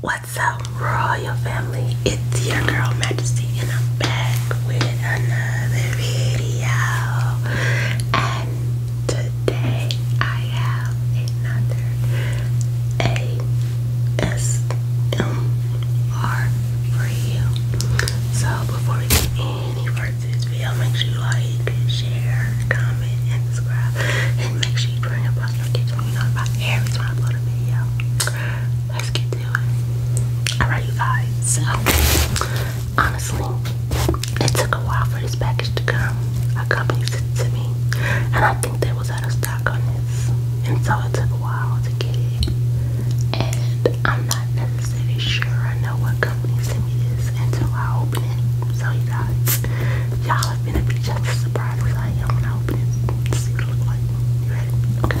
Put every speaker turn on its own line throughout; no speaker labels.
What's up, royal family? It's your girl Majesty, and I'm back with another video. And today I have another ASMR for you. So before we get any further, this video, make sure you like, share, comment, and subscribe. And make sure you bring up post notifications when you know about every time I upload a video. Let's get to it. Alright, you guys. So, honestly, it took a while for this package to come. A company sent to me, and I think they was out of stock on this. And so it took a while to get it. And I'm not necessarily sure I know what company sent me this until I open it. So you guys, y'all are gonna be just as surprised as I am when I open it see it looks like. You ready? Okay.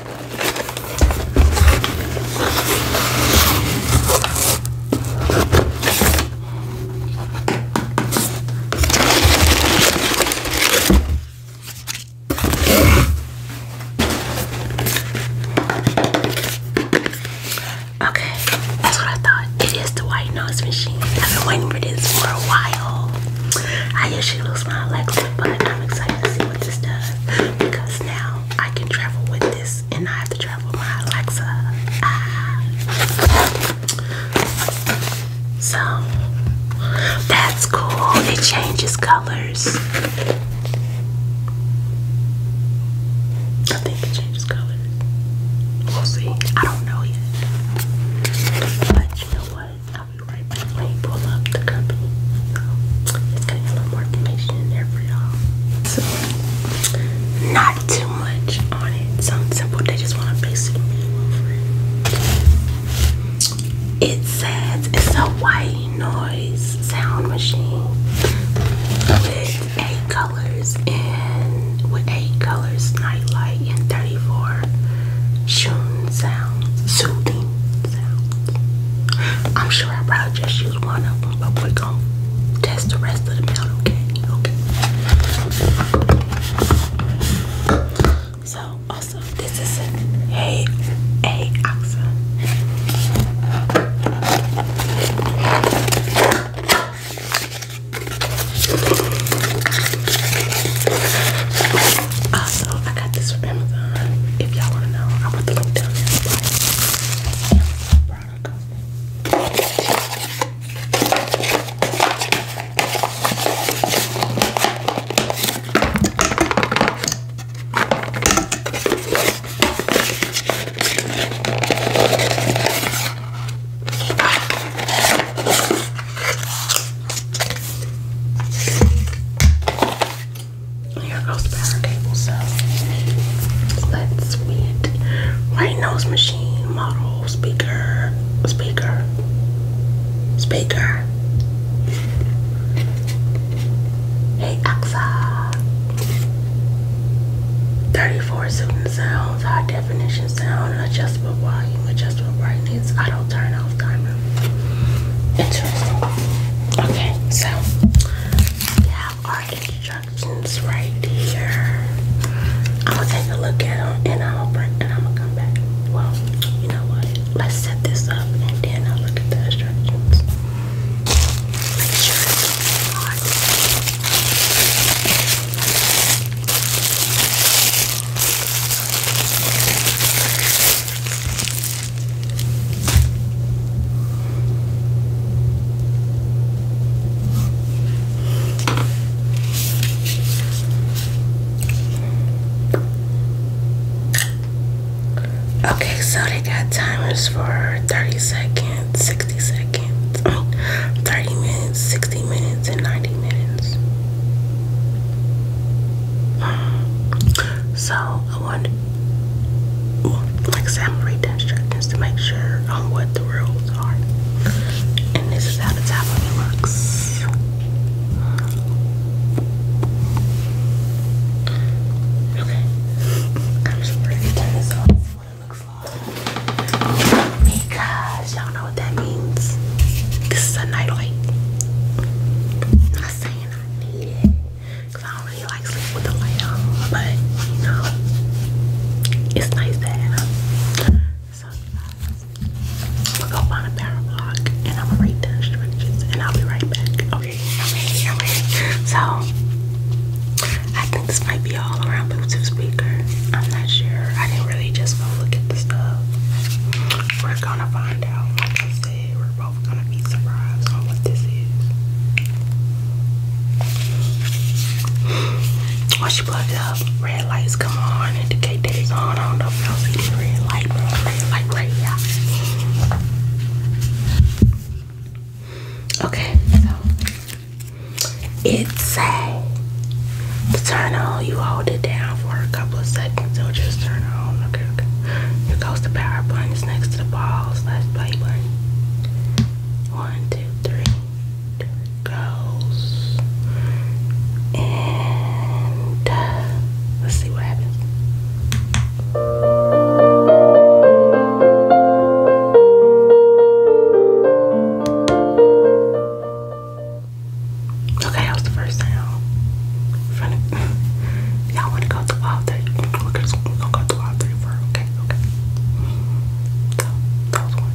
Okay, that's what I thought. It is the white nose machine. I've been waiting for this for a while. I usually lose my Alexa but I'm excited to see what this does because now I can travel with this and I have to travel my Alexa. So that's cool. It changes colors. I think it changes colors. We'll see. I don't know yet. But you know what? I'll pull up the company. So it's going a little more information in there for y'all. So not too much on it. Something simple. They just want a basic it. says it's a white noise sound machine with eight colors and with eight colors, night light and 34 shoes sounds, soothing I'm sure I probably just used one of them, but we're gonna test the rest of them out, okay? Okay. So also this is a hey hey also, I got this from Amazon. If y'all want to know, I want the link down there. Product. Here goes power cable, so let's meet right nose machine model speaker speaker speaker. Hey Alexa. 34 students sound high definition sound, adjustable volume, adjustable brightness, I don't turn off timer. Interesting. Okay, so we have our instructions right here. I'm gonna take a look at them and I'll bring and I'm gonna come back. Well, you know what? Let's set this up and then I'll look at the instructions. Make sure it's hard. Okay, so they got timers for 30 seconds, 60 seconds. 30 minutes, 60 minutes, and 90 minutes. So I want well, like I I'm read instructions to make sure on what the rules are. And this is how the top of it Okay it looks like. Because y'all know what that means. This is a nightlight. not saying I need it. I don't really like sleep with the light on. But, you know, it's nice to have. So, I'm going to find a power block and I'm going to read the instructions and I'll be right back. okay. So, I think this might be all-around Bluetooth speaker. I'm not sure. I didn't really just go look at the stuff. We're gonna find out. Like I said, we're both gonna be surprised on what this is. Once you plug it up, red lights come on, indicate that it's on. I don't know if y'all see the red light, Red light right here. Okay, so it's a turn on. You hold it down for a couple of seconds. It'll just turn on. Okay, okay. Here goes the power button. It's next to the balls slash play button. One, two, three. There it goes. And uh, let's see what happens. Okay, that was the first sound. Y'all want to go to wild three? are go to wild three okay, okay. So that one.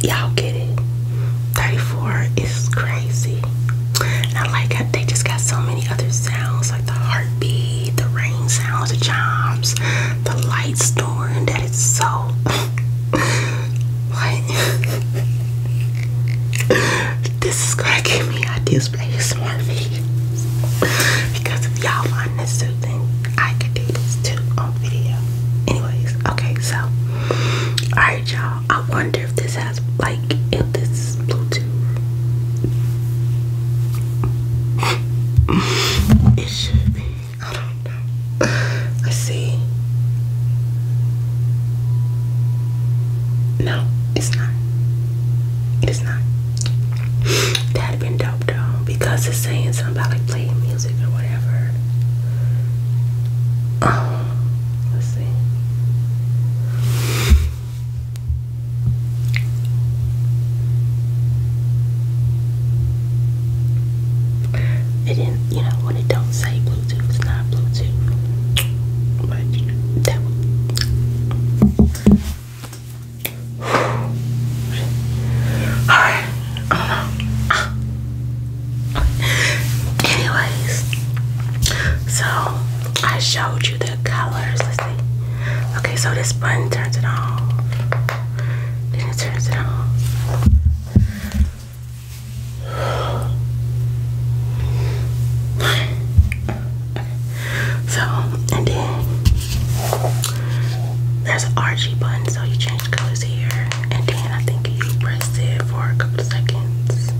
Y'all get it. 34 is crazy. I like how they just got so many other sounds like the heartbeat, the rain sounds, the chimes, the light storm that it's so like this is gonna give me ideas for ASMR videos. because if y'all find this too, then I could do this too on video. Anyways, okay, so alright y'all. I wonder if this has like if this is Bluetooth. it should be. I don't know. I see. No, it's not. It's not. that been dope though, because it's saying something about like playing music or whatever. Um, let's see. It didn't, you know, when it don't say Bluetooth, it's not Bluetooth. But that one. Alright. I um, do Anyways. So I showed you the colors. Okay, so this button turns it off. Then it turns it off. So, and then there's an RG button, so you change colors here, and then I think you press it for a couple seconds.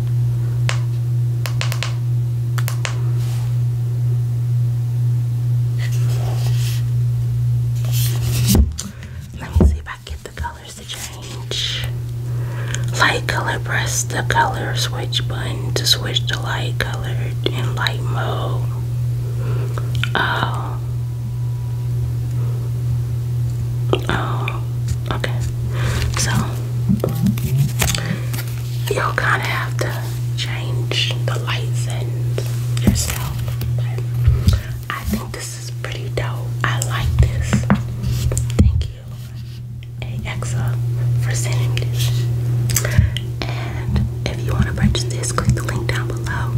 Let me see if I get the colors to change. Light color, press the color switch button to switch to light colored in light mode. Oh. Oh. Okay. So, you'll kind of have to change the light settings yourself. I think this this is pretty dope. I like this. Thank you, AXA, for sending this. And if you want to purchase this, click the link down below.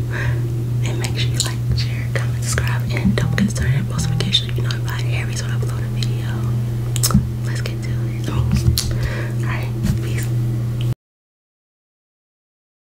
And make sure you like, share, comment, subscribe, and don't get started post notification if you notify Aries when I upload a video. Let's get to it. Alright, peace.